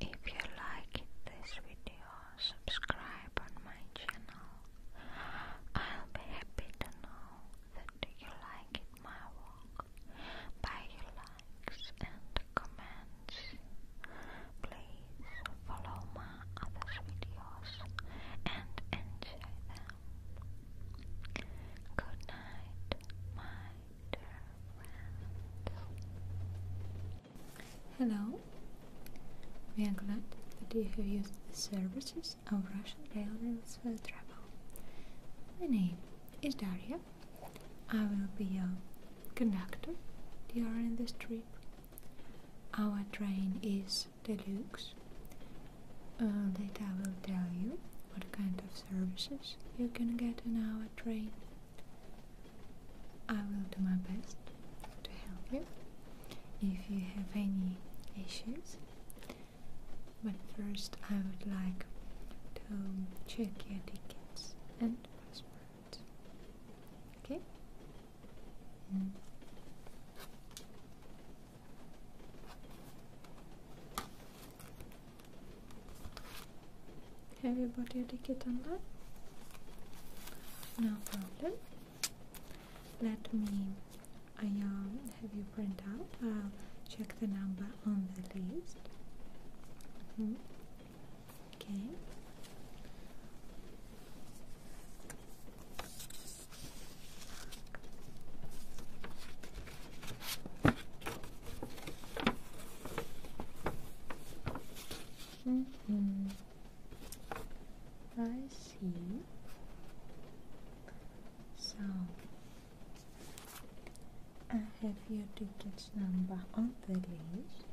If you like this video, subscribe on my channel. I'll be happy to know that you like my work by your likes and comments. Please follow my other videos and enjoy them. Good night, my dear friends. Hello. We are glad that you have used the services of Russian Railways for travel. My name is Daria. I will be your conductor during this trip. Our train is deluxe. Uh, later I will tell you what kind of services you can get on our train. I will do my best to help you if you have any issues. But first, I would like to check your tickets and passports. Okay? Mm. Have you bought your ticket online? No problem. Let me I, um, have you print out. I'll check the number on the list. Mm-hmm. Okay. -hmm. I see. So I have your ticket number on the list.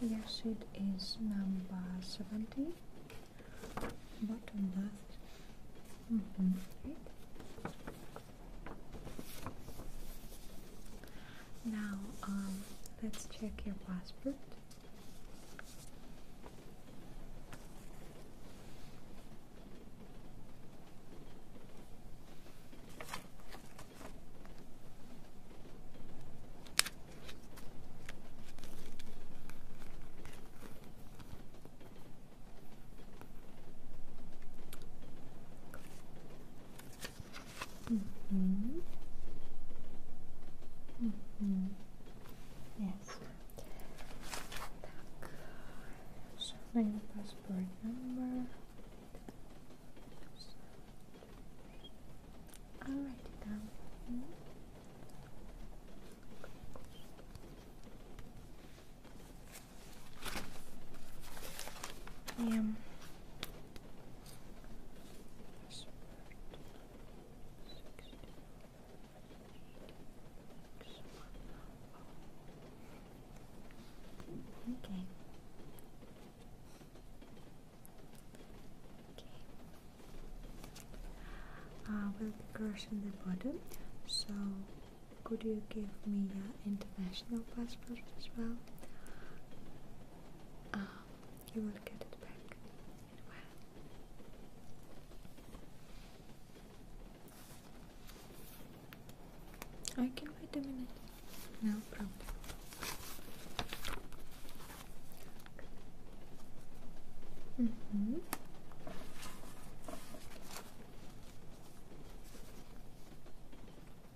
Yes, it is number 70. Bottom left. -hmm. Now, um, let's check your passport. Mm -hmm. Yes. Так. Шановний passport number. I'll write it Okay. Okay. I uh, will be crushing the bottom, so could you give me an international passport as well? Um, you will get it back I can wait a minute. No problem. Mm -hmm.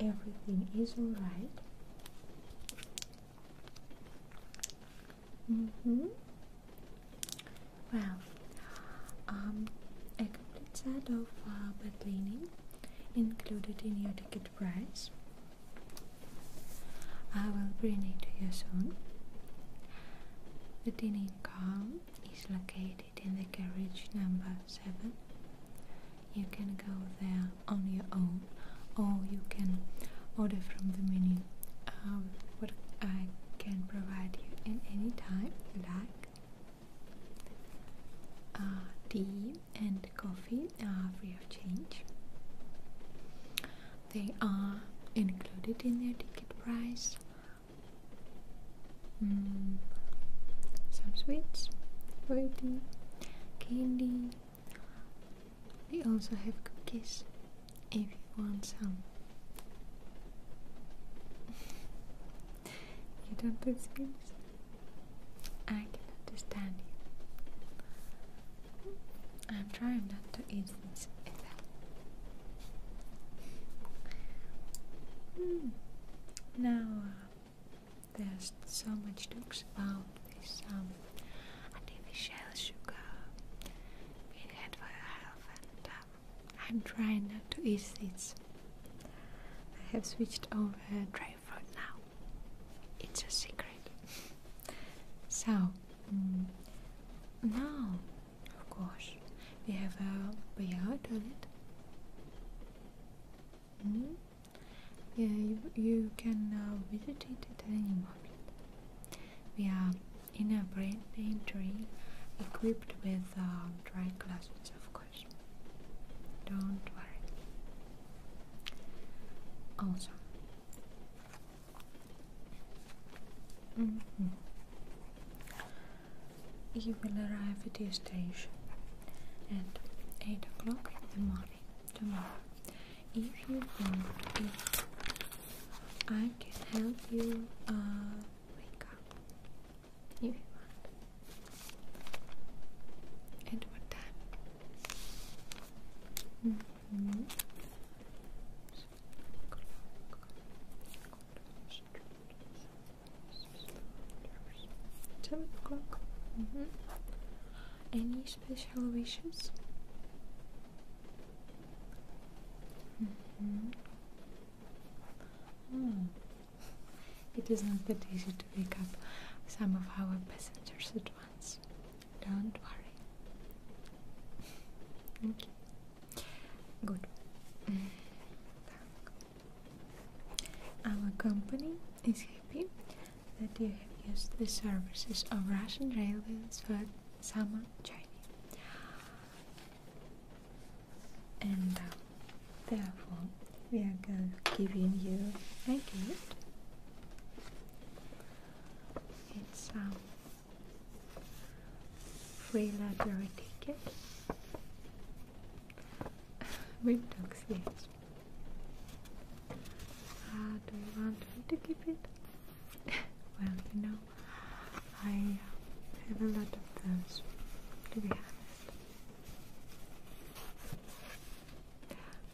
Everything is alright. Mm hmm. Well, a um, complete set of uh, bed linen included in your ticket price. I will bring it to you soon. The dining car is located in the carriage number 7. You can go there on your own or you can order from the menu uh, what I can provide you in any time you like. Uh, tea and coffee are free of charge. They are included in their ticket price. Mm. some sweets, spaghetti, candy. They also have cookies if you want some. you don't speak. sweets? I can understand you. I'm trying not to eat Hmm. Now uh, there's so much talks about this um, artificial sugar being good for health, and uh, I'm trying not to eat seeds. I have switched over to dry food now. It's a secret. so Mm. Now, of course, we have a backyard on it. Mm. Yeah, you, can uh, visit it at any moment. We are in a brand new tree equipped with uh, dry glasses, of course. Don't worry. Also, Mm-hmm. You will arrive at the station at 8 o'clock in the morning tomorrow. If you want, I can help you uh, wake up. you want. At what time? Mm-hmm. Ten mm-hmm. o'clock. Any special wishes? Mm-hmm. It is not that easy to wake up some of our passengers at once. Don't worry. Okay. Good. Our company is happy that you have used the services of Russian Railways for summer journey, and uh, therefore we are going to give you a gift. It's um, free library ticket We don't see it. do you want me to keep it? well, you know, I uh, have a lot of those, to be honest.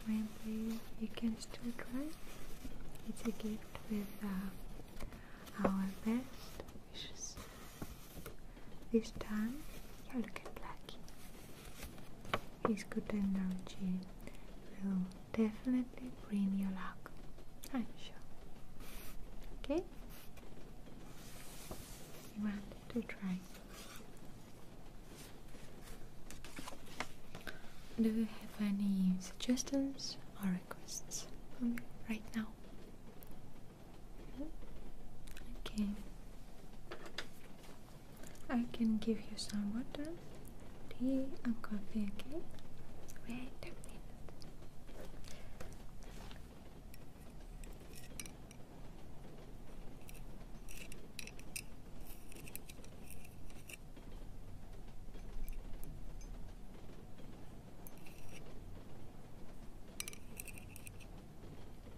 Maybe you can still try. It's a gift with a. Uh, our best wishes. This time you are looking Blackie. His good energy will definitely bring you luck. I'm sure. Okay? want to try. Do you have any suggestions or right now. Okay. I can give you some water, tea, and coffee, okay? Wait a minute.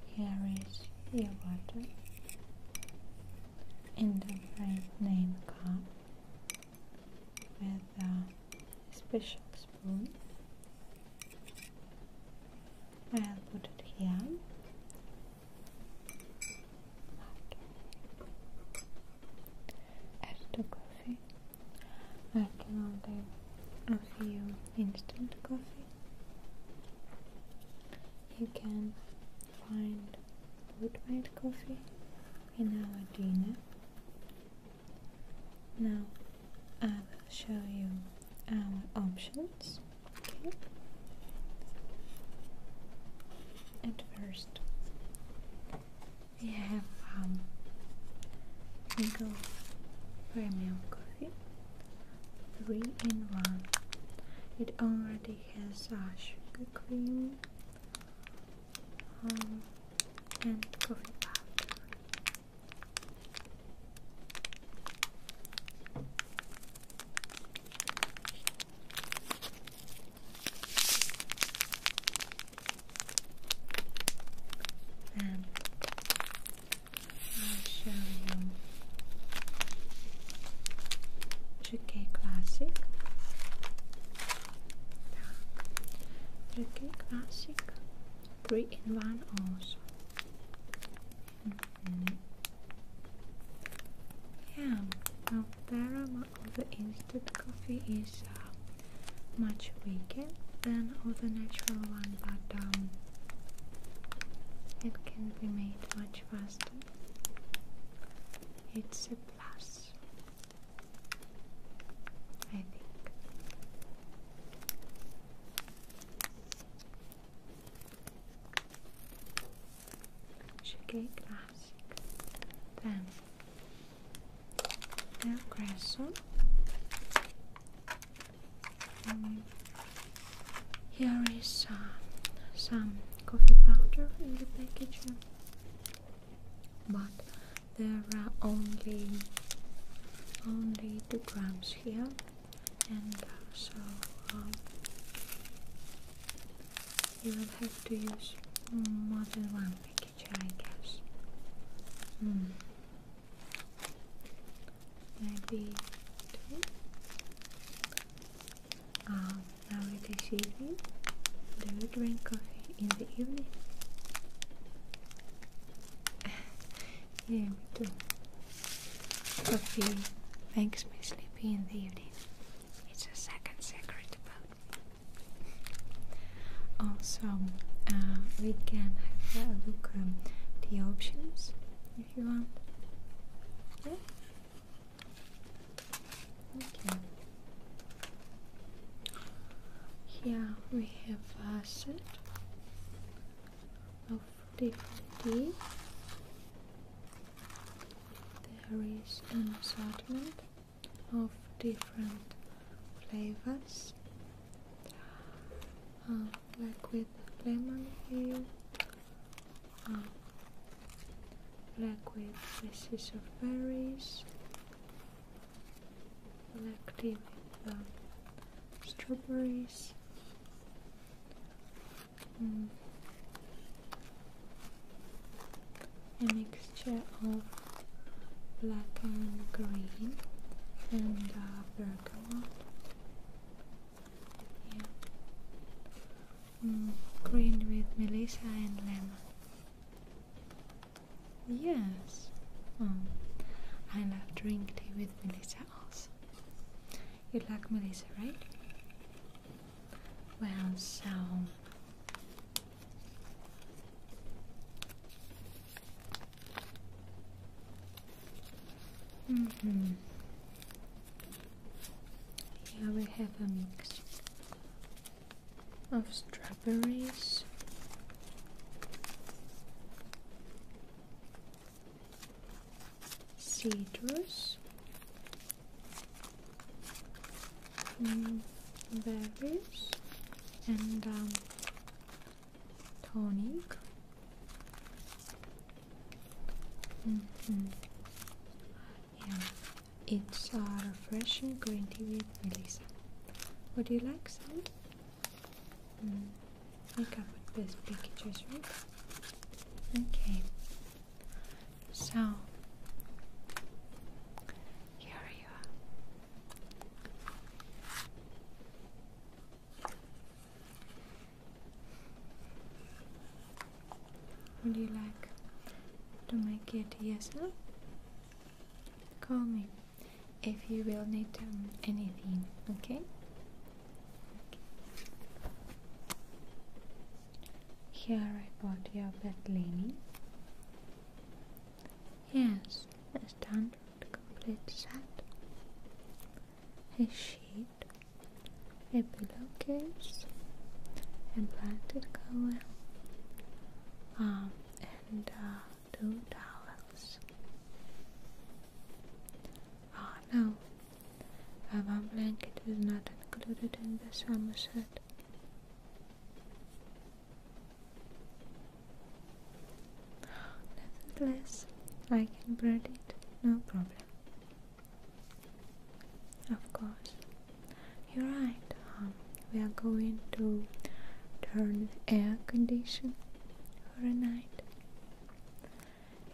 Here is your water in the brand name cup with a special spoon. I'll put it here. Add coffee. I can order a few instant coffee. You can find good made coffee in our dinner. Now I will show you our options. Okay. At first, we have um, single premium coffee, three in one. It already has uh, sugar cream um, and coffee powder. Then I'll show you GK Classic. GK Classic 3 in 1 also. Mm-hmm. Yeah, well, there are the instant coffee is uh, much weaker than of the natural one, but um, it can be made much faster. It's a plus, I think. Sugar classic. Then here is uh, some coffee powder in the package, but there are only only two grams here, and uh, you will have to use more than one package, I guess. Hmm. Maybe two. Uh, now it is evening. Do you drink coffee in the evening? yeah, me too. Coffee makes me sleepy in the evening. It's a second secret about me. Also, uh, we can have a look at um, the options if you want. Yeah. Okay. Here we have a set of different. There is an assortment of different flavors uh, like with lemon here uh, like with pieces of berries like tea strawberries mm a mixture of black and green and uh, bergamot. Yeah. Mm, green with melissa and lemon. Yes. Um, I love drink tea with melissa also. You like melissa, right? Well, so mm -hmm. here we have a mix of strawberries. cedars berries mm, and um, tonic. Mm-hmm. Yeah, it's a refreshing green tea with Melissa. Would you like some? Mm. I can this pictures, right? Okay. So here you are. Would you like to make it yourself? Call me if you will need um, anything, okay. Here I bought your bed linen. Yes, a standard complete set. A sheet, a pillowcase, a blanket cover, um, and uh, two towels. Oh no, a warm blanket is not included in the summer set. Nevertheless, I can bread it, no problem. Of course. You're right, um, we are going to turn the air condition for a night.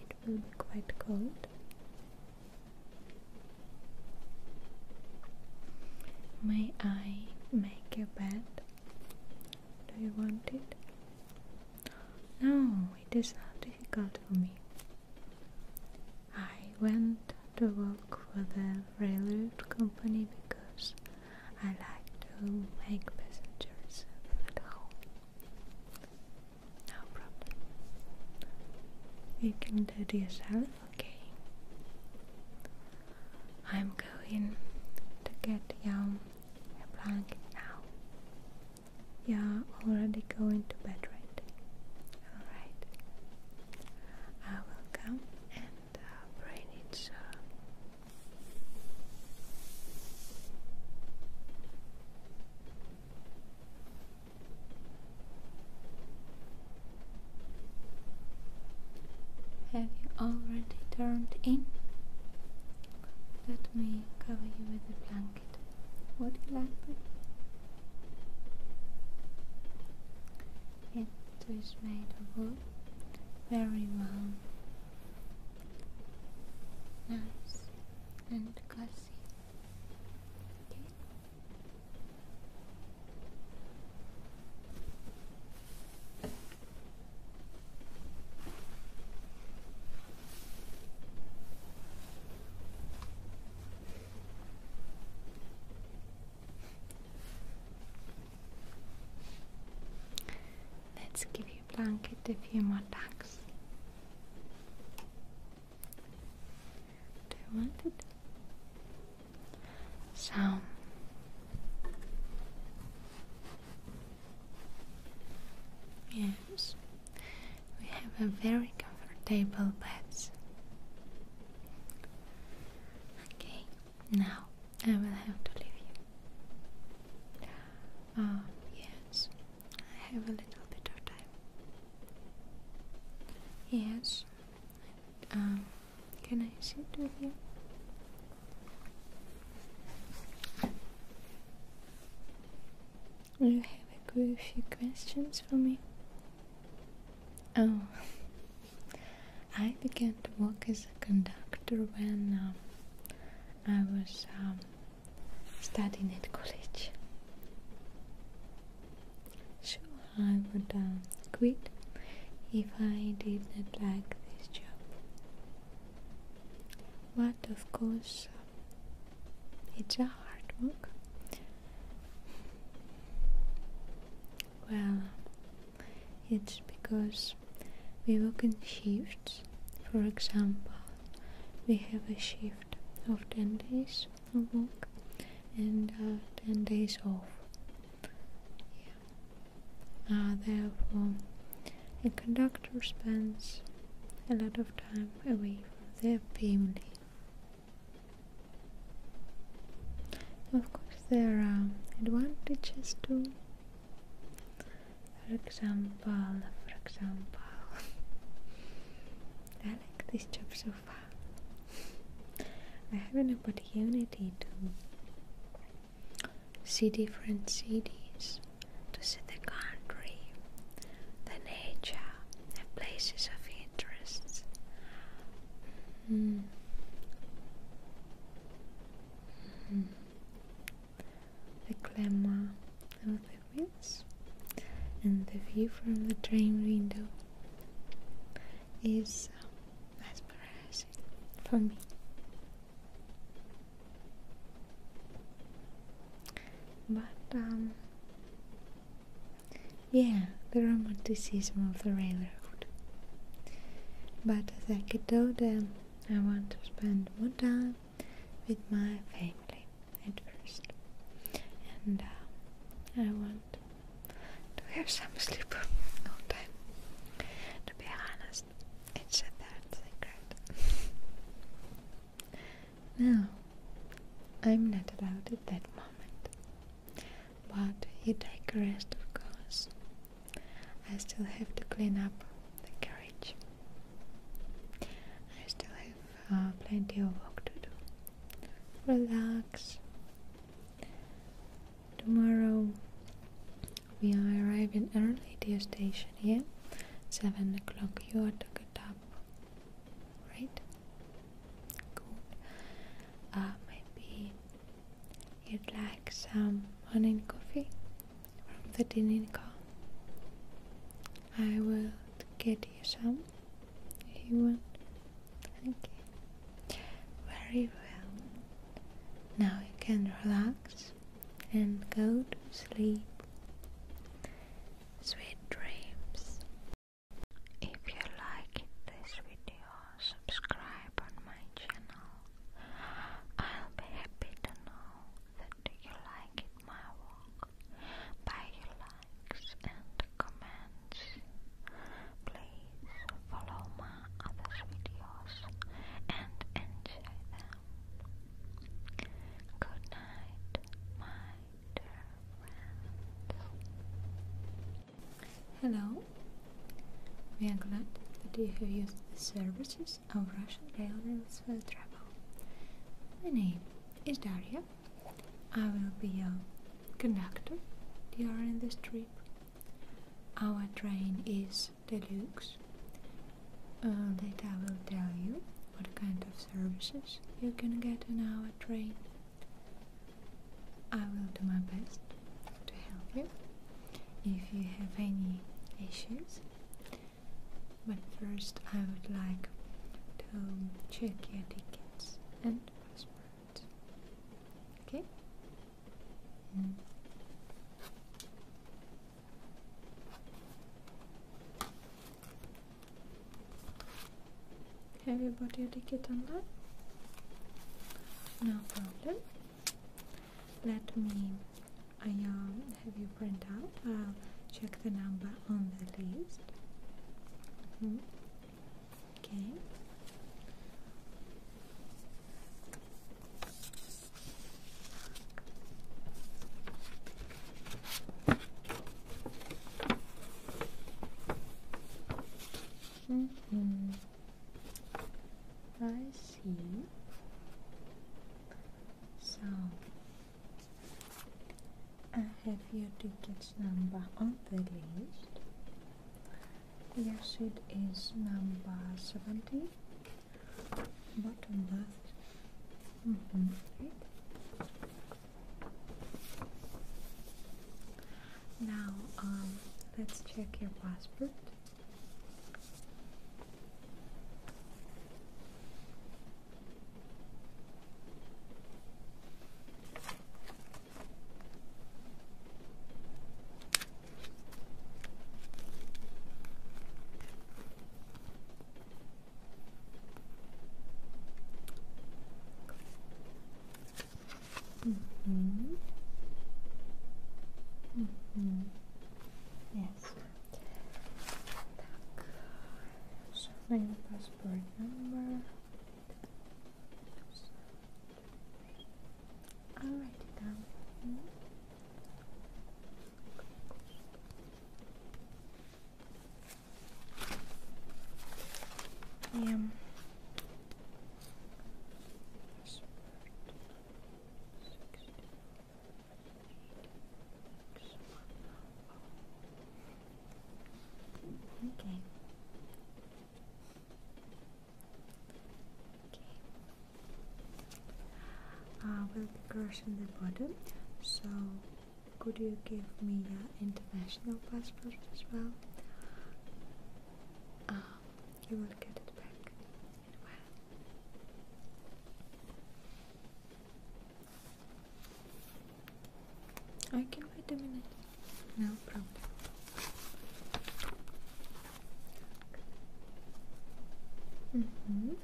It will be quite cold, May I make a bed? Do you want it? No, it is not difficult for me. I went to work for the railroad company because I like to make passengers at home. No problem. You can do it yourself. Okay. I'm going to get you a blanket now. You're already going to bed, right? Alright. I will come and uh, bring it, sir. Have you already turned in? Let me cover you with a blanket. Would you It is made of wool, very warm, nice and cozy. Okay. Let's give your blanket a few more tucks. Do you want it? So yes, we have a very comfortable bed. Okay, now I will have to leave you. Oh yes, I have a little bit of time. Yes, um, can I sit with you? You have a few questions for me. Oh, I began to work as a conductor when um, I was um, studying at college. So I would uh, quit if I did not like this job. But of course, it's a hard work. Well, it's because we work in shifts. For example, we have a shift of 10 days a walk and uh, 10 days off. Uh, therefore, a conductor spends a lot of time away from their family. Of course, there are advantages too. For example, for example, I like this job so far. I have an opportunity to see different cities, to see the country, the nature, the places of interest. Mm-hmm. Mm-hmm. The glamour the wheels and the view from the train window is mesmerizing for me. But, um, yeah, the romanticism of the railroad. But as I get older, I want to spend more time with my family at first, and uh, I want to have some sleep no time. To be honest, it's a third secret. no, I'm not allowed at that moment. But you take a rest, of course. I still have to clean up the carriage. I still have uh, plenty of work to do. Relax, Tomorrow we are arriving early to your station, here, 7 o'clock you are to get up, right? Good. Uh, maybe you'd like some morning coffee from the dining car. I will get you some. You want? Okay. Very well. Now you can relax and go to sleep. Sweet dreams. If you like this video, subscribe on my channel. I'll be happy to know that you like my work. Bye likes and comments. Please follow my other videos and enjoy them. Good night, my dear friends. Hello. We are glad that you have used the services of Russian Railways for travel. My name is Daria. I will be a conductor during this trip. Our train is deluxe. Uh, later I will tell you what kind of services you can get on our train. I will do my best to help you if you have any issues. But first I would like to check your tickets and passport. Okay? Have you bought your ticket on that? No problem. Let me I, um, have you print out. I'll check the number on the list. Mm-hmm. Okay. -hmm. I see. So I have your ticket's number on the list. Your seat is number 70, bottom left. Mm-hmm. Now, um, let's check your passport. Mm hmm. Mm hmm. Yes. Так. Шифрование паспорт номер. I'll write it down you. Yeah. Okay. Okay. I uh, will be crossing the bottom, so could you give me your international passport as well? Uh, you will get it back I can wait a minute. No problem. -hmm. -hmm.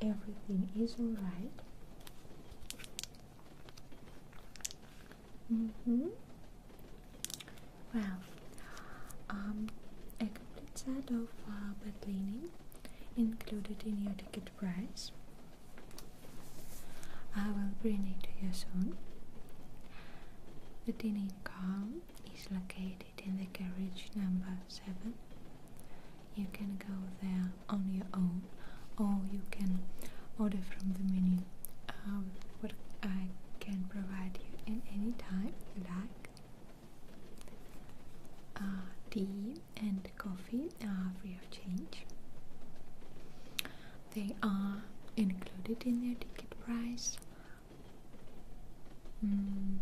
Everything is all right. Mm-hmm. Well, um, a complete set of uh, bed linen included in your ticket price. I will bring it to you soon. The dining car is located in the carriage number 7. You can go there on your own or you can order from the menu um, what I can provide you in any time you like. Uh, tea and coffee are uh, free of charge. They are included in their ticket price. Mm,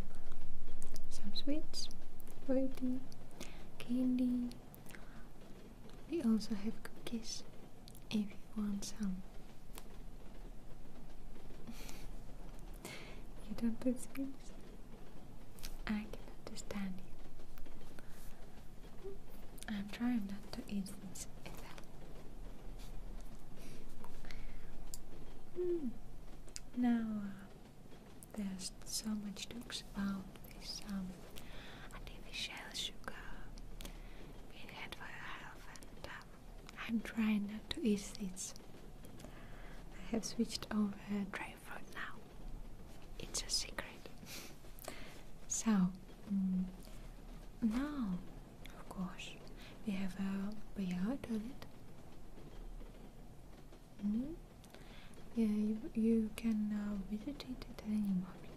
some sweets, fruity, candy. We also have cookies if you want some. you don't put screens? I can understand you. I'm trying not to eat this hmm. Now uh, there's so much talks about this um, TV show sugar being had for um, I'm trying not to eat seeds. I have switched over dry food now. It's a secret. so, mm, now, of course, we have a backyard toilet. Mm? Mm-hmm. Yeah, you, can uh, visit it at any moment.